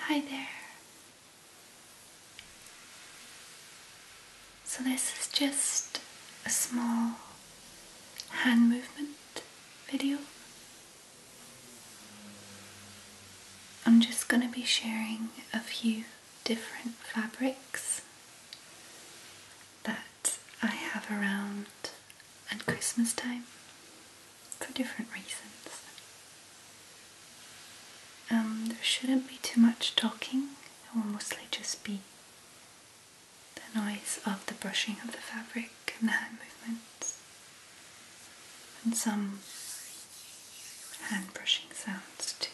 Hi there. So, this is just a small hand movement video. I'm just going to be sharing a few different fabrics that I have around and Christmas time for different reasons. Um, there shouldn't be too much talking, it will mostly just be the noise of the brushing of the fabric and the hand movements and some hand brushing sounds too.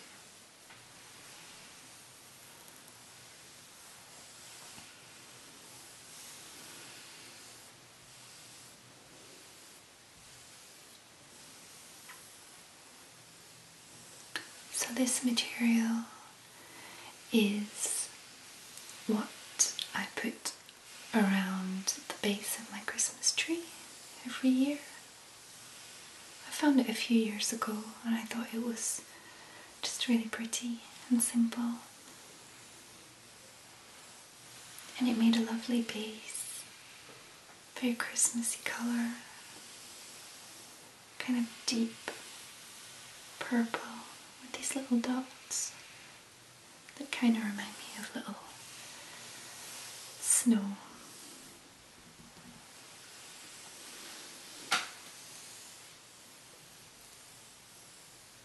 So, this material is what I put around the base of my Christmas tree every year. I found it a few years ago and I thought it was just really pretty and simple. And it made a lovely base, very Christmassy color, kind of deep purple with these little dots that kind of remind me of little snow.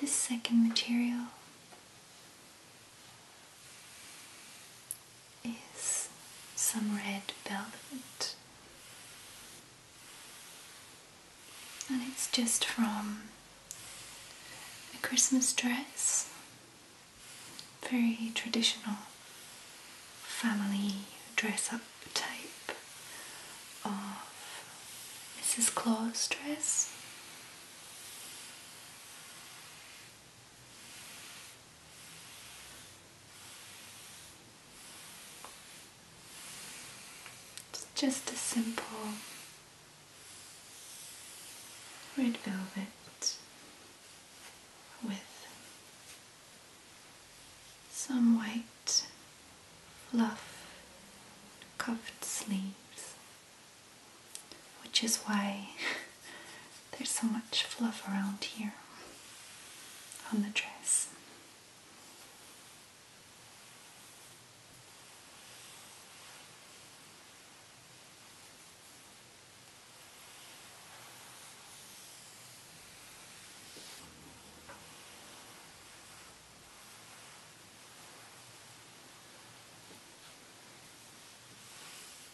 This second material is some red velvet. And it's just from a Christmas dress, very traditional family dress up type of Mrs. Claus dress. It's just a simple red velvet with some white fluff cuffed sleeves, which is why There's so much fluff around here on the dress.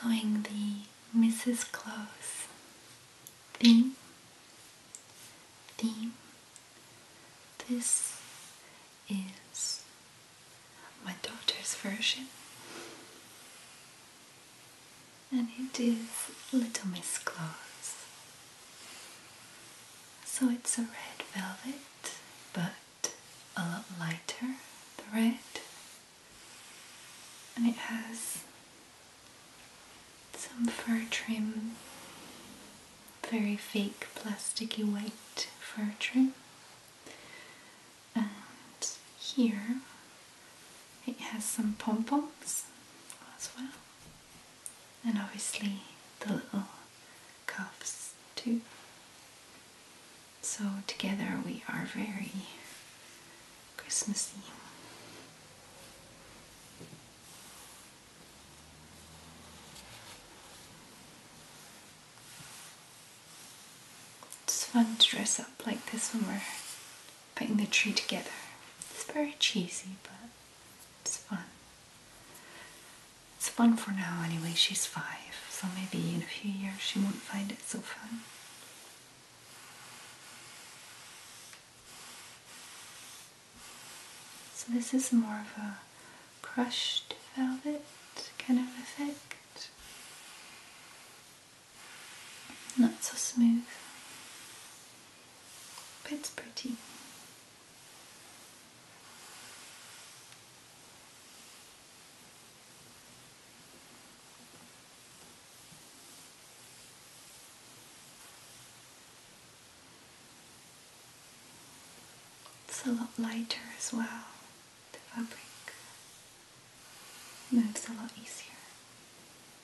Following the Mrs. Claus theme, theme, this is my daughter's version and it is Little Miss Claus. So it's a red velvet, but a lot lighter, the red, and it has some fur trim, very fake plasticky white fur trim. And here it has some pom poms as well and obviously the little cuffs too. So together we are very Christmassy. It's fun to dress up like this when we're putting the tree together. It's very cheesy, but it's fun. It's fun for now anyway, she's five, so maybe in a few years she won't find it so fun. So this is more of a crushed velvet kind of effect. Not so smooth it's pretty. It's a lot lighter as well, the fabric moves a lot easier.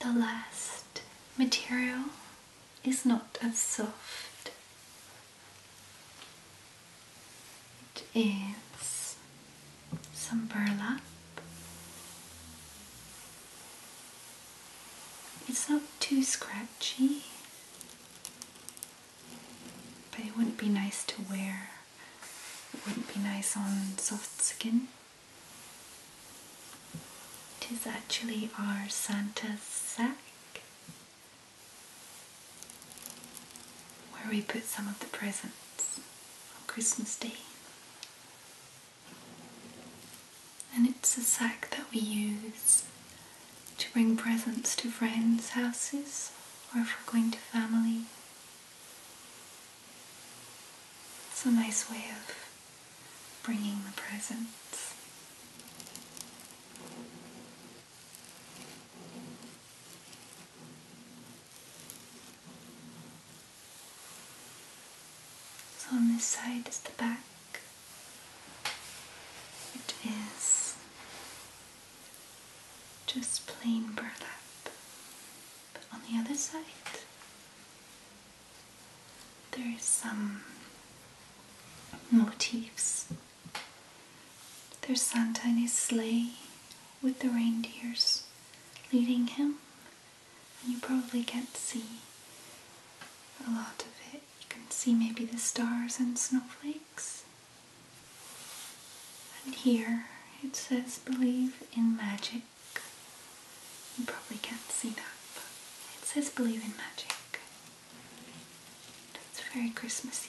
The last material is not as soft, it is some burlap. It's not too scratchy, but it wouldn't be nice to wear it wouldn't be nice on soft skin. It is actually our Santa's sack where we put some of the presents on Christmas Day. And it's a sack that we use to bring presents to friends' houses or if we're going to family it's a nice way of bringing the presence. So on this side is the back. It is just plain burlap. But on the other side, there is some motifs. There's Santa in his sleigh with the reindeers leading him, and you probably can't see a lot of it. You can see maybe the stars and snowflakes. And here it says believe in magic. You probably can't see that, but it says believe in magic. That's very Christmassy.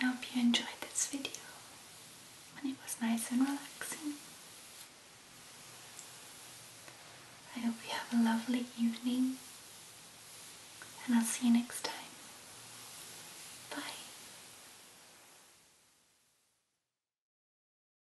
I hope you enjoyed this video and it was nice and relaxing. I hope you have a lovely evening and I'll see you next time. Bye.